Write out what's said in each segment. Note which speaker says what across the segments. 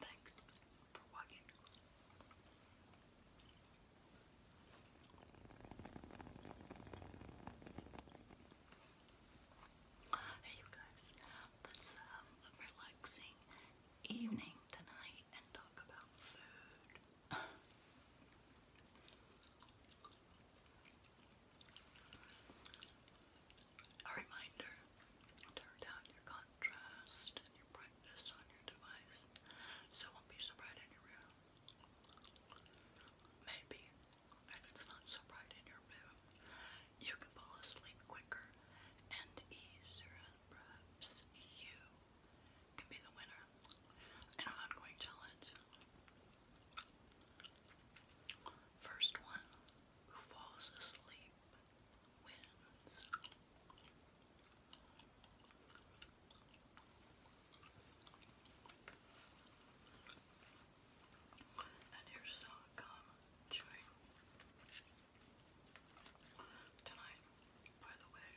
Speaker 1: Thanks for watching. Hey you guys, let um, a relaxing evening tonight and talk about food. A reminder, turn down your contrast and brightness on your device so it won't be so bright in your room. Maybe, if it's not so bright in your room, you can fall asleep quicker and easier, and perhaps you can be the winner in an ongoing challenge. First one who falls asleep wins. you here's Salcom chewing. Tonight, by the way,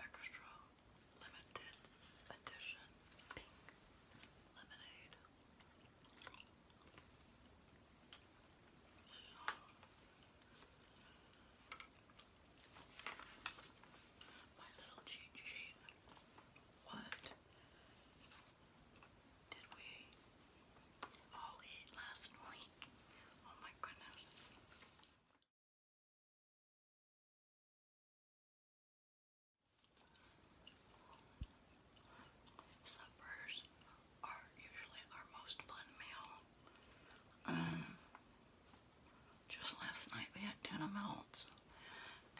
Speaker 1: extra limited edition pink lemonade. My little cheat What did we all eat last night? Oh my goodness. Suppers are usually our most fun meal. Um, just last night we had tuna melts.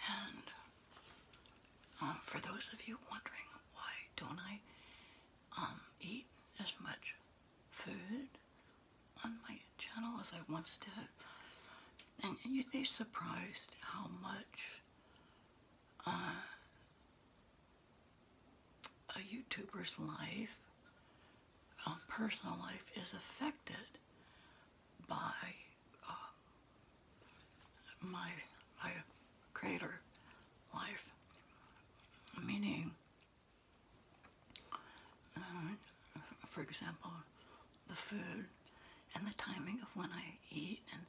Speaker 1: And um, for those of you wondering why don't I um, eat as much food on my channel as I once did, and you'd be surprised how much uh, a YouTuber's life, um, personal life, is affected by uh, my, my creator life. Meaning, uh, for example, the food and the timing of when I eat and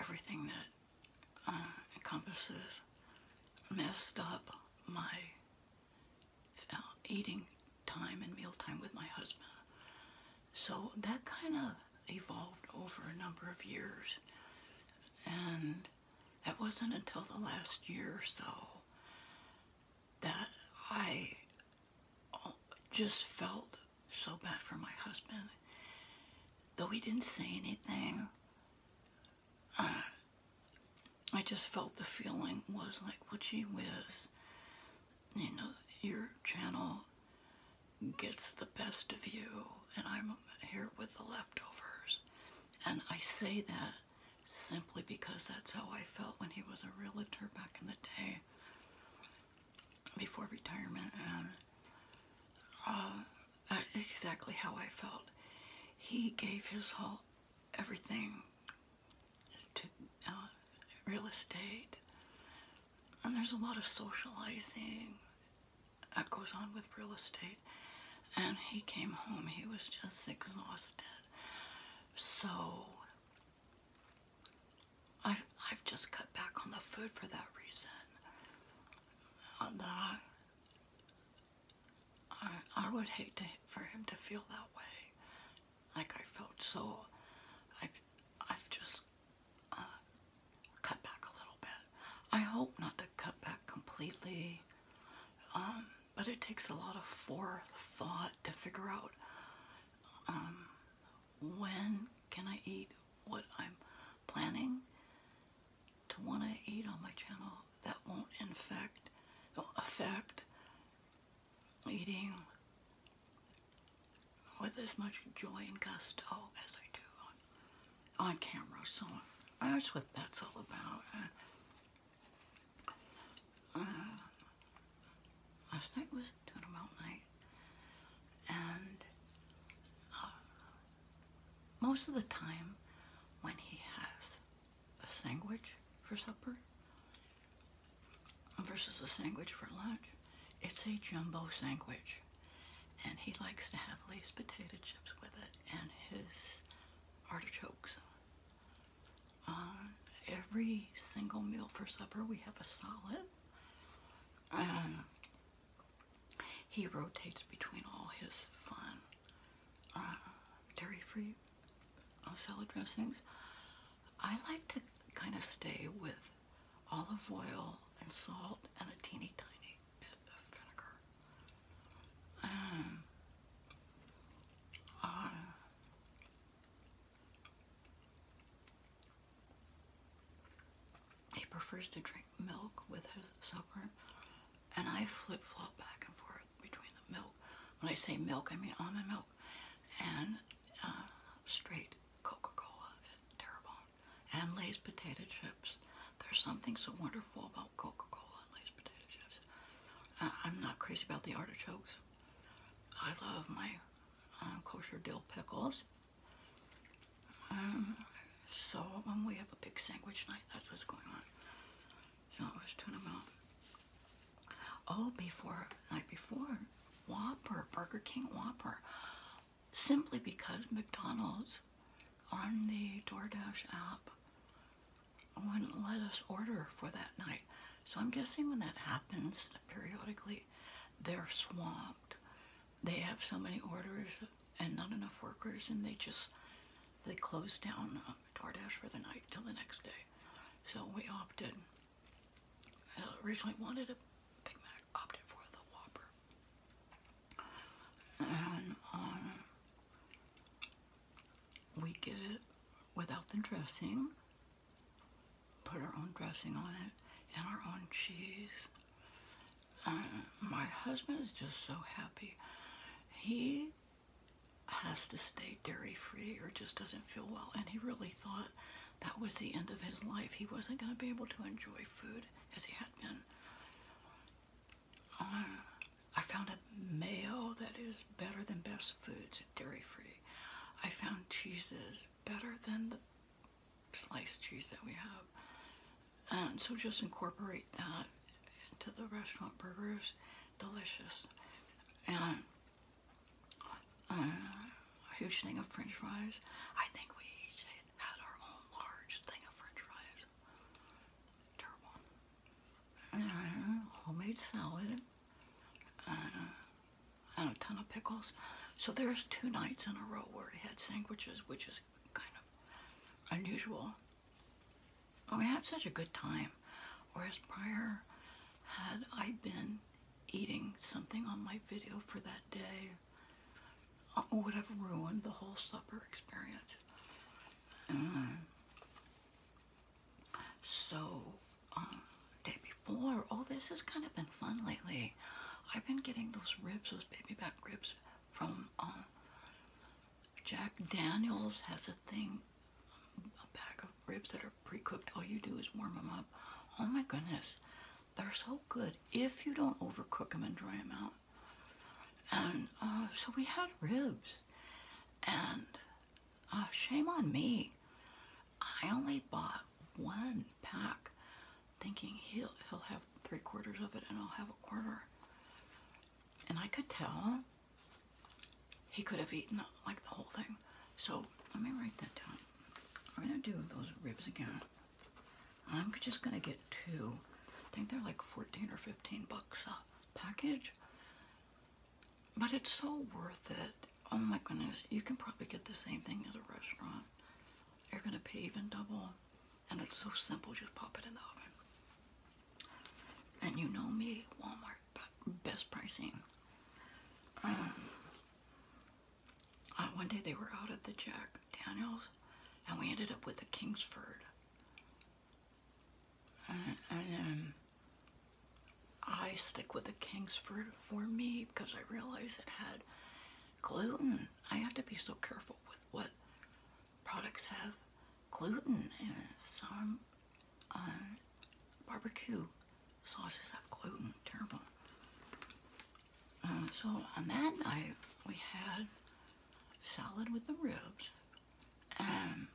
Speaker 1: everything that uh, encompasses messed up my uh, eating time and meal time with my husband. So that kind of evolved over a number of years. And that wasn't until the last year or so that I just felt so bad for my husband. Though he didn't say anything, I just felt the feeling was like, well, gee whiz, you know, your channel gets the best of you, and I'm here with the leftovers. And I say that simply because that's how I felt when he was a realtor back in the day before retirement, and uh, exactly how I felt. He gave his whole everything to uh, real estate, and there's a lot of socializing that goes on with real estate. And he came home, he was just exhausted. So I've, I've just cut back on the food for that reason. Uh, I, I, would hate to, for him to feel that way. Like I felt so, I've, I've just uh, cut back a little bit. I hope not to cut back completely, um, but it takes a lot of forethought to figure out um, when can I eat what I'm planning to want to eat on my channel that won't infect, oh, affect eating with as much joy and gusto as I do on, camera. So that's what that's all about. Uh, uh, last night was Twinable night, and uh, most of the time when he has a sandwich for supper versus a sandwich for lunch, it's a jumbo sandwich. And he likes to have Lay's potato chips with it and his artichokes. On uh, every single meal for supper, we have a salad he rotates between all his fun uh, dairy-free uh, salad dressings. I like to kind of stay with olive oil and salt and a teeny tiny bit of vinegar. Um, uh, he prefers to drink milk with his supper, and I flip flop back and forth between the milk. When I say milk, I mean almond milk and uh, straight Coca Cola and Terrebonne and Lay's potato chips. There's something so wonderful about Coca Cola and Lay's potato chips. Uh, I'm not crazy about the artichokes. I love my uh, kosher dill pickles. Um, so we have a big sandwich night. That's what's going on. So I was tuna melt. Oh, before night before, Whopper, Burger King Whopper. Simply because McDonald's on the DoorDash app wouldn't let us order for that night. So I'm guessing when that happens periodically, they're swamped. They have so many orders and not enough workers, and they just they close down um, DoorDash for the night till the next day. So we opted. I uh, originally wanted a Big Mac, opted for the Whopper, and uh, we get it without the dressing put our own dressing on it and our own cheese. Uh, my husband is just so happy. He has to stay dairy free or just doesn't feel well. And he really thought that was the end of his life. He wasn't going to be able to enjoy food as he had been. Uh, I found a mayo that is better than best foods, dairy free. I found cheeses better than the sliced cheese that we have. And so just incorporate that into the restaurant burgers. Delicious. And uh, a huge thing of french fries. I think we should have our own large thing of french fries. Terrible. homemade salad and uh, a ton of pickles. So there's two nights in a row where we had sandwiches, which is kind of unusual. we had such a good time, whereas prior, had I been eating something on my video for that day, uh, I would have ruined the whole supper experience. Mm. So um, day before. Oh, this has kind of been fun lately. I've been getting those ribs, those baby back ribs from um, Jack Daniels has a thing, a bag of ribs that are pre-cooked. All you do is warm them up. Oh my goodness, they're so good if you don't overcook them and dry them out. And uh, so we had ribs and uh, shame on me. I only bought one pack thinking he'll he'll have three quarters of it and I'll have a quarter. And I could tell he could have eaten like the whole thing. So let me write that down. I'm gonna do those ribs again. I'm just gonna get two. I think they're like 14 or 15 bucks a package. But it's so worth it oh my goodness, you can probably get the same thing at a restaurant. you are gonna pay even double, and it's so simple, just pop it in the oven. And you know me, Walmart, best pricing. Um, uh, one day they were out of the Jack Daniels, and we ended up with the Kingsford. Uh, and um, I stick with the king's fruit for me because I realize it had gluten. I have to be so careful with what products have gluten and some um, barbecue sauces have gluten, terrible. Uh, so on that night, we had salad with the ribs and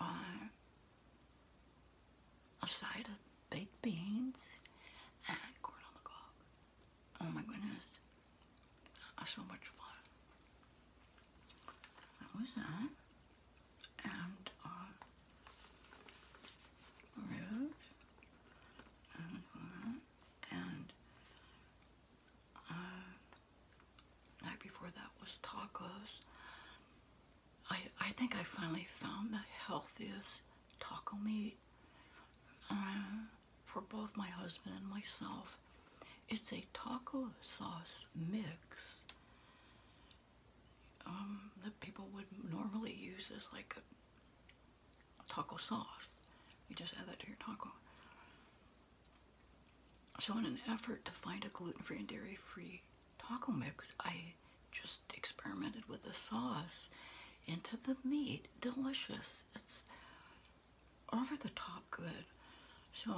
Speaker 1: uh, a side of baked beans and corn on the cob. Oh my goodness, that's so much fun. That was that. And uh, rose and, uh, and uh, night before that was tacos I, I think I finally found the healthiest taco meat uh, for both my husband and myself. It's a taco sauce mix um, that people would normally use as like a taco sauce. You just add that to your taco. So in an effort to find a gluten-free and dairy-free taco mix, I just experimented with the sauce into the meat. Delicious. It's over the top good. So,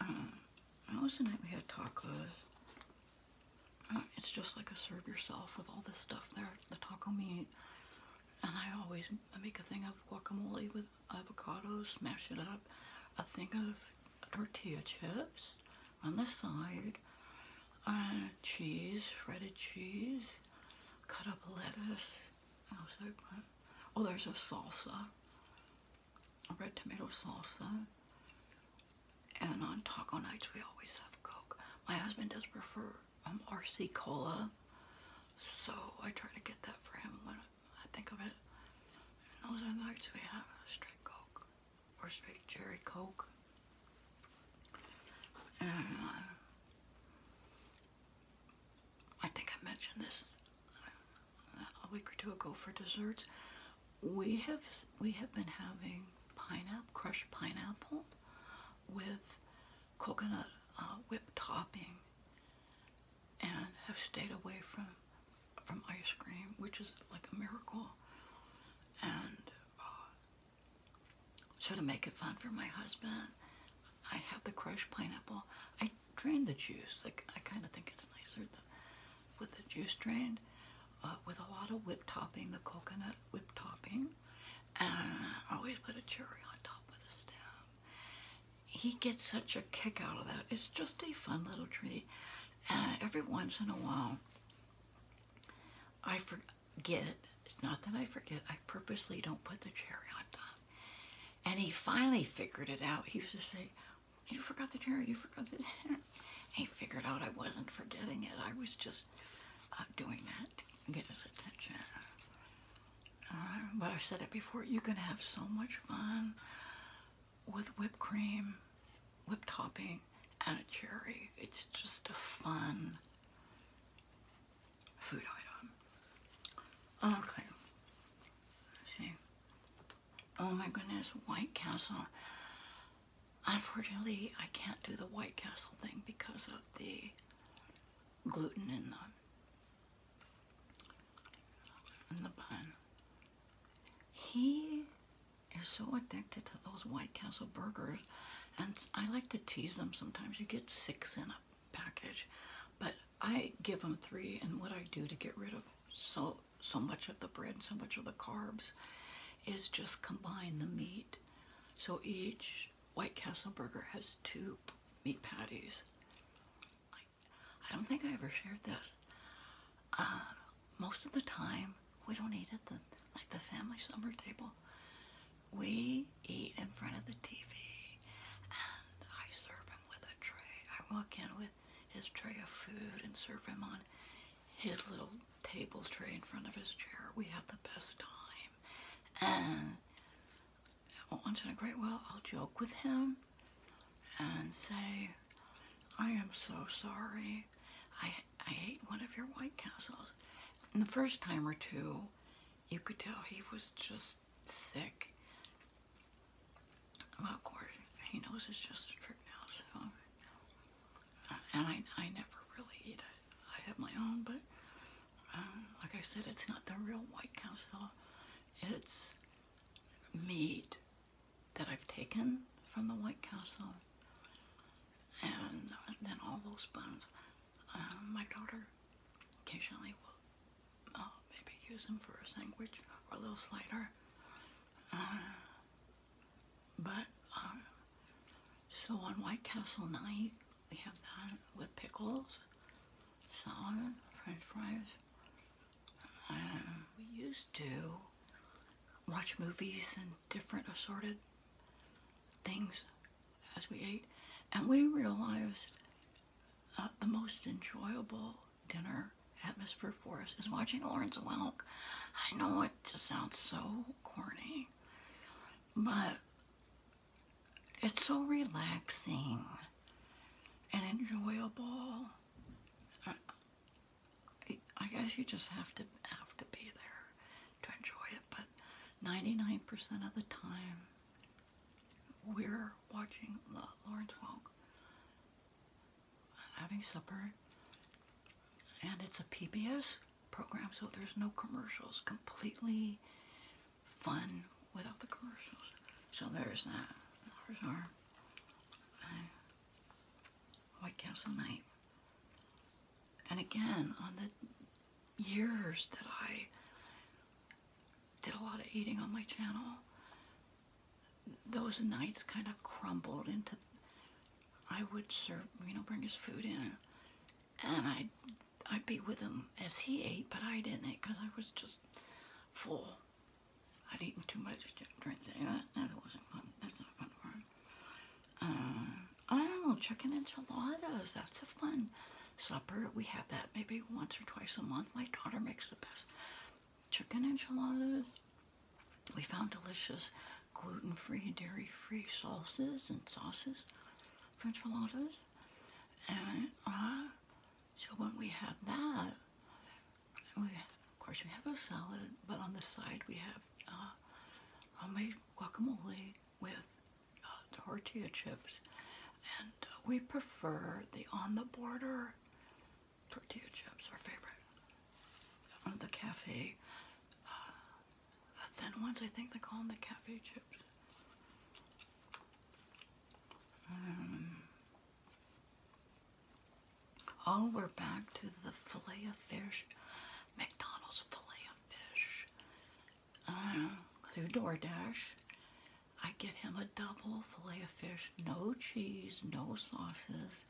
Speaker 1: um, that was the night we had tacos. Uh, it's just like a serve yourself with all this stuff there, the taco meat. And I always make a thing of guacamole with avocado, smash it up, a thing of tortilla chips, on the side, uh, cheese, shredded cheese, cut up lettuce. Oh, there's a salsa, a red tomato salsa. And on taco nights, we always have Coke. My husband does prefer um, RC Cola, so I try to get that for him when I think of it. And those are the nights we have straight Coke or straight cherry coke. I think I mentioned this a week or two ago for desserts. We have we have been having pineapple, crushed pineapple, with coconut uh, whipped topping, and have stayed away from from ice cream, which is like a miracle. And uh, so to make it fun for my husband, I have the crushed pineapple. I drain the juice. Like I kind of think it's nicer than, with the juice drained, uh, with a lot of whipped topping, the coconut whipped topping, and I always put a cherry on top of the stem. He gets such a kick out of that. It's just a fun little treat. And every once in a while, I forget. It's not that I forget. I purposely don't put the cherry on top. And he finally figured it out. He was just saying, you forgot the cherry, you forgot the cherry. He figured out I wasn't forgetting it. I was just uh, doing that to get his attention. Uh, but I've said it before, you can have so much fun with whipped cream, whipped topping, and a cherry. It's just a fun food item. Okay. see. Oh my goodness, White Castle. Unfortunately, I can't do the White Castle thing because of the gluten in the in the bun. He you're so addicted to those White Castle burgers, and I like to tease them sometimes. You get six in a package, but I give them three, and what I do to get rid of so so much of the bread, so much of the carbs, is just combine the meat. So each White Castle burger has two meat patties. I don't think I ever shared this. Uh, most of the time we don't eat at the like the family supper table. We eat in front of the TV, and I serve him with a tray. I walk in with his tray of food and serve him on his little table tray in front of his chair. We have the best time, and once in a great while I'll joke with him and say, I am so sorry. I, I ate one of your White Castles. And the first time or two, you could tell he was just sick. Well, of he knows it's just a trick now, so. And I, I never really eat it. I have my own, but um, like I said, it's not the real White Castle. It's meat that I've taken from the White Castle, and then all those buns. Uh, my daughter occasionally will uh, maybe use them for a sandwich or a little slider. Uh, but um, so on White Castle night, we have that with pickles, salad, french fries, we used to watch movies and different assorted things as we ate, and we realized uh, the most enjoyable dinner atmosphere for us is watching Lawrence Welk. I know it just sounds so corny, but it's so relaxing and enjoyable. Uh, I guess you just have to have to be there to enjoy it, but 99% of the time we're watching Lawrence Welk having supper and it's a PBS program so there's no commercials completely fun without the commercials so there's that there's uh, White Castle Night. And again, on the years that I did a lot of eating on my channel, those nights kind of crumbled into, I would serve, you know, bring his food in, and I'd, I'd be with him as he ate, but I didn't eat because I was just full. I'd eaten too much during the That, wasn't fun. That's not fun for him. Uh, I don't know, chicken enchiladas. That's a fun supper. We have that maybe once or twice a month. My daughter makes the best chicken enchiladas. We found delicious gluten-free, dairy-free sauces and sauces for enchiladas. And uh, so when we have that, Oh, of course, we have a salad, but on the side we have uh, homemade guacamole with uh, tortilla chips. And uh, we prefer the on the border tortilla chips, our favorite. On the cafe, uh, the thin ones, I think they call them the cafe chips. Um, Oh, we're back to the filet of fish. McDonald's filet of fish. Uh, through DoorDash, I get him a double filet of fish, no cheese, no sauces,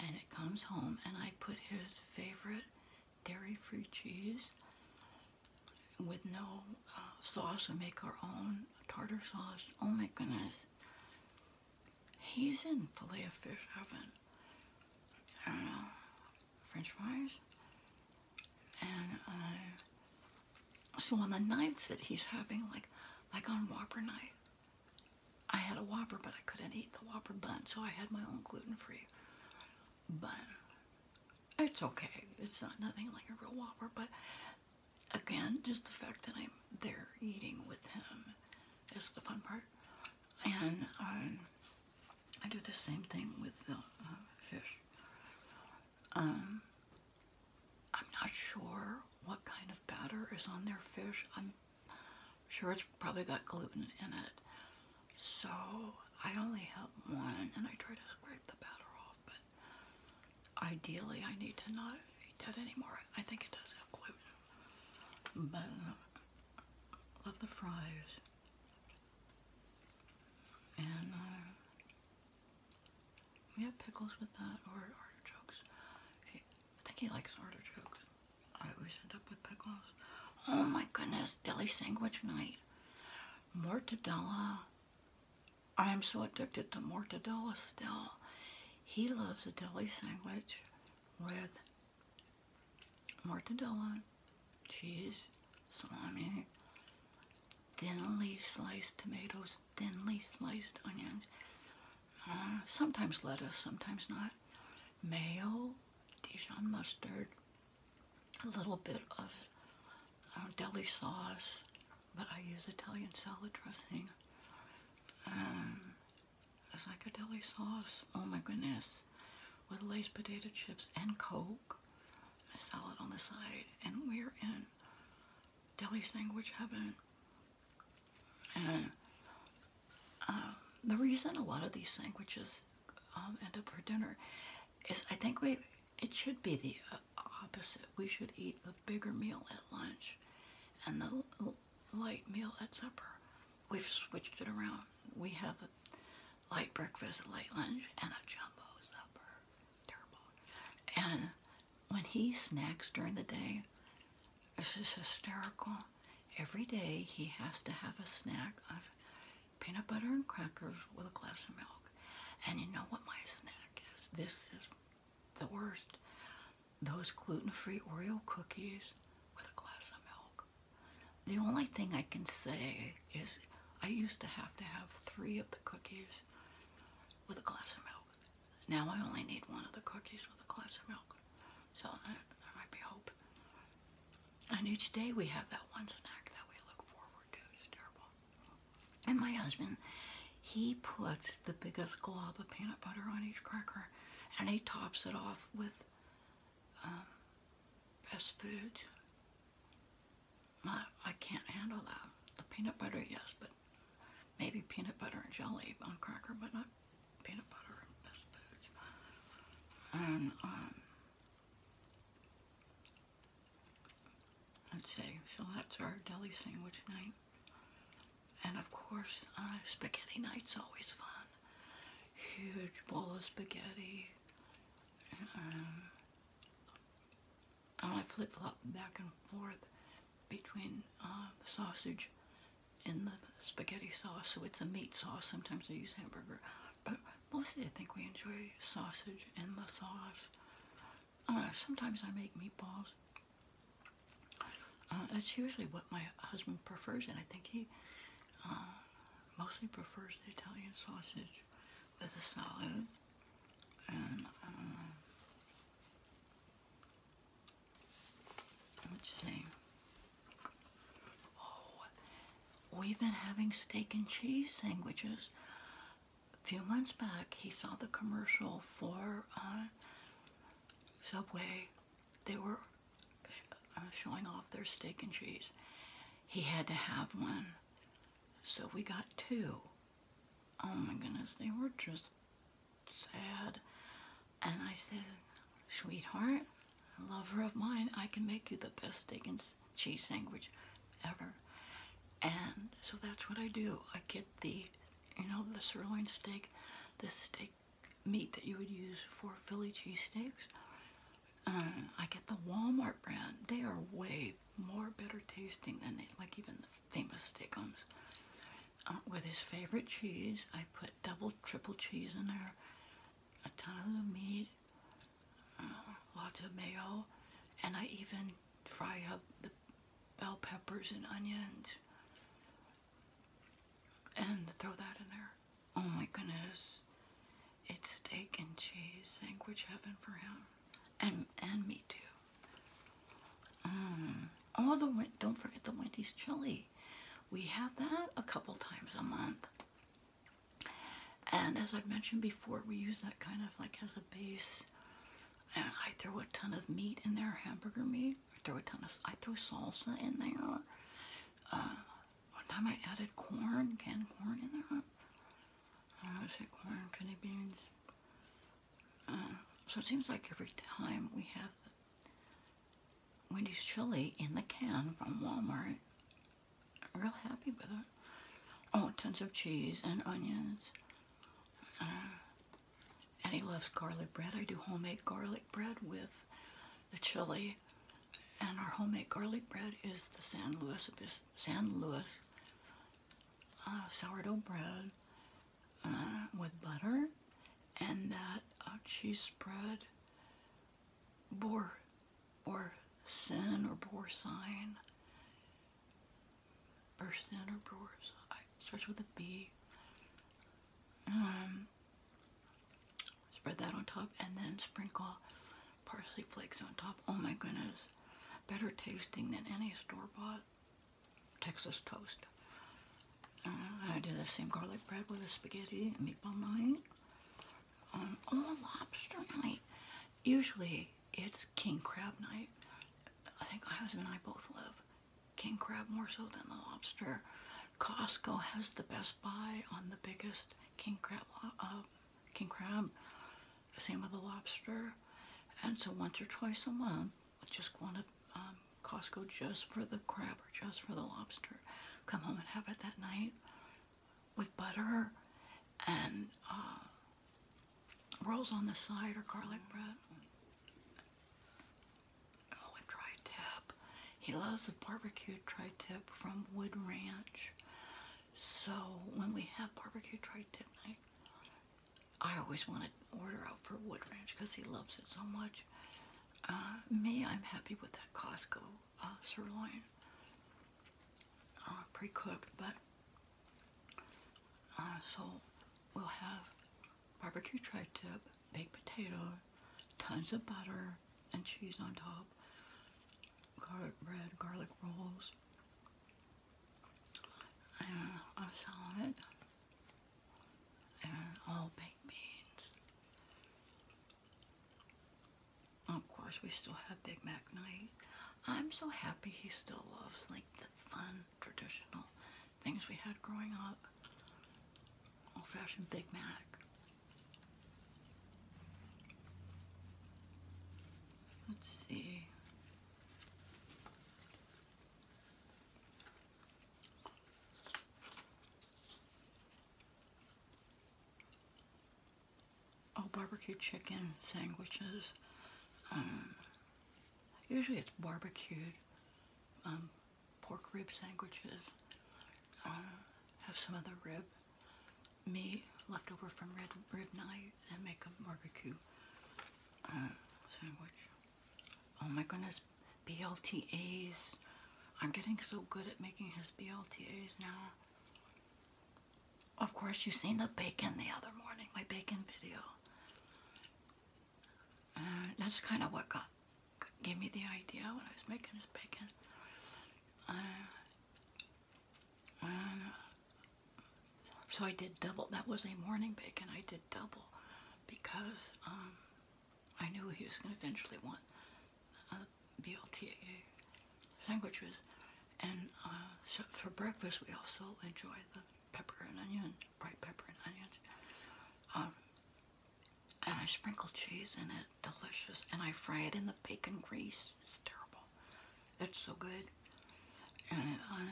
Speaker 1: and it comes home and I put his favorite dairy-free cheese with no uh, sauce. We make our own tartar sauce. Oh my goodness. He's in filet of fish oven. I don't know, french fries. And so on the nights that he's having, like, like on Whopper night, I had a Whopper, but I couldn't eat the Whopper bun, so I had my own gluten-free bun. It's okay. It's not nothing like a real Whopper, but again, just the fact that I'm there eating with him is the fun part. And um, I do the same thing with the uh, fish. Um, I'm not sure what kind of batter is on their fish. I'm sure it's probably got gluten in it. So I only have one and I try to scrape the batter off, but ideally I need to not eat that anymore. I think it does have gluten. But I love the fries. And uh, we have pickles with that or artichokes. I think he likes artichokes. I always end up with pickles. Oh my goodness, deli sandwich night. Mortadella. I am so addicted to mortadella still. He loves a deli sandwich with mortadella, cheese, salami, thinly sliced tomatoes, thinly sliced onions, uh, sometimes lettuce, sometimes not, mayo, Dijon mustard, a little bit of uh, deli sauce, but I use Italian salad dressing. Um, a psychedelic sauce. Oh my goodness. With Lay's potato chips and Coke. A salad on the side. And we're in deli sandwich heaven. And um, the reason a lot of these sandwiches um, end up for dinner is I think we it should be the uh, opposite. We should eat a bigger meal at lunch and the light meal at supper. We've switched it around. We have a light breakfast, a light lunch, and a jumbo supper. Terrible. And when he snacks during the day, this is hysterical. Every day he has to have a snack of peanut butter and crackers with a glass of milk. And you know what my snack is? This is the worst those gluten-free Oreo cookies with a glass of milk. The only thing I can say is I used to have to have three of the cookies with a glass of milk. Now I only need one of the cookies with a glass of milk. So there, might be hope. And each day we have that one snack that we look forward to. terrible. And my husband he puts the biggest glob of peanut butter on each cracker and he tops it off with um, best food. I, can't handle that. The peanut butter, yes, but maybe peanut butter and jelly on cracker, but not peanut butter and best food. And, um, let's see, so that's our deli sandwich night. And of course, uh, spaghetti night's always fun. Huge bowl of spaghetti. and um, I flip-flop back and forth between uh, sausage and the spaghetti sauce. So it's a meat sauce. Sometimes I use hamburger. But mostly I think we enjoy sausage and the sauce. Uh, sometimes I make meatballs. Uh, that's usually what my husband prefers, and I think he uh, mostly prefers the Italian sausage with a salad and uh, let oh, we've been having steak and cheese sandwiches. A few months back, he saw the commercial for uh, Subway, they were uh, showing off their steak and cheese. He had to have one. So we got two. Oh my goodness, they were just sad. And I said, sweetheart, lover of mine, I can make you the best steak and cheese sandwich ever. And so that's what I do. I get the you know, the sirloin steak, the steak meat that you would use for Philly cheesesteaks. Uh, I get the Walmart brand. They are way more better tasting than like even the famous Steakums. Uh, with his favorite cheese, I put double, triple cheese in there, a ton of the meat, uh, lots of mayo, and I even fry up the bell peppers and onions and throw that in there. Oh my goodness. It's steak and cheese sandwich heaven for him. And and me too. Mm. Oh, the don't forget the Wendy's chili. We have that a couple times a month. And as I've mentioned before, we use that kind of like as a base. And I throw a ton of meat in there, hamburger meat. I throw a ton of, I throw salsa in there. one uh, time I added corn, canned corn in there. I don't know, is it corn, kidney beans? so it seems like every time we have Wendy's chili in the can from Walmart, real happy with it. Oh, tons of cheese and onions. Uh, and he loves garlic bread. I do homemade garlic bread with the chili, and our homemade garlic bread is the San Luis San Luis uh, sourdough bread uh, with butter, and that uh, cheese spread boar or sin or boar sign bursting out her drawers. I starts with a B. Um, spread that on top and then sprinkle parsley flakes on top. Oh my goodness. Better tasting than any store-bought Texas toast. Uh, I do the same garlic bread with a spaghetti meatball night. Um, oh, lobster night. Usually it's king crab night. I think my husband and I both love king crab more so than the lobster. Costco has the best buy on the biggest king crab. Uh, king crab. Same with the lobster. And so once or twice a month, I just go to um, Costco just for the crab or just for the lobster. Come home and have it that night with butter and uh, rolls on the side or garlic bread. Oh, tri-tip. He loves a barbecue tri-tip from Wood Ranch. So when we have barbecue tri-tip night, I always want to order out for Wood Ranch because he loves it so much. Uh, me, I'm happy with that Costco uh, sirloin, uh, pre-cooked, but uh, so we'll have barbecue tri-tip, baked potato, tons of butter and cheese on top, garlic bread, garlic rolls, and a salad, and all baked beans. Of course, we still have Big Mac night. I'm so happy he still loves like the fun traditional things we had growing up. Old fashioned Big Mac. Let's see. Oh, barbecue chicken sandwiches. Um, Usually it's barbecued um, pork rib sandwiches. Uh, have some other rib meat leftover from red, rib night and make a barbecue uh, sandwich. Oh my goodness, BLTAs. I'm getting so good at making his BLTAs now. Of course, you've seen the bacon the other morning, my bacon video. Uh, that's kind of what got gave me the idea when I was making this bacon. Uh, um, so I did double. That was a morning bacon. I did double because um, I knew he was going to eventually want uh, sandwiches. And uh, for breakfast, we also enjoy them pepper and onion, bright pepper and onions. Um, and I sprinkle cheese in it, delicious. And I fry it in the bacon grease. It's terrible. It's so good. Um,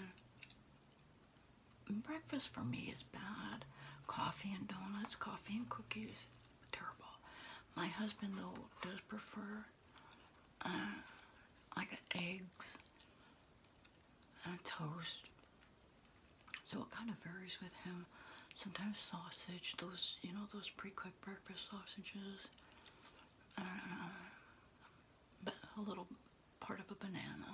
Speaker 1: breakfast for me is bad. Coffee and donuts, coffee and cookies, terrible. My husband though does prefer. Uh, I got eggs toast. So it kind of varies with him. Sometimes sausage, those, you know, those pre-cooked breakfast sausages. Uh, a little part of a banana.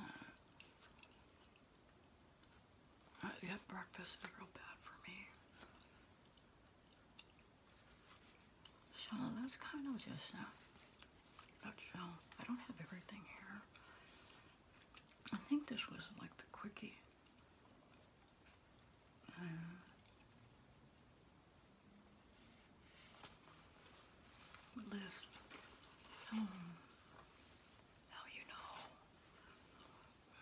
Speaker 1: Uh, yeah, breakfast is real bad for me. So that's kind of just uh, nutshell. I don't have everything here. I think this was like the quickie. Uh, list. Um, you know.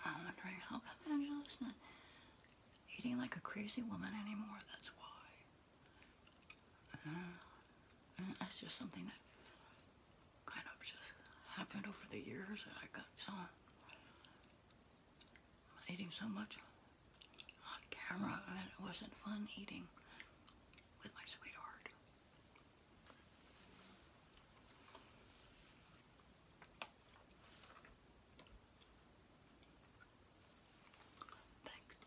Speaker 1: I'm wondering how come Angela's not eating like a crazy woman anymore, that's why. Uh, that's just something that kind of just happened over the years that I got so eating so much on camera and it wasn't fun eating with my sweetheart. Thanks.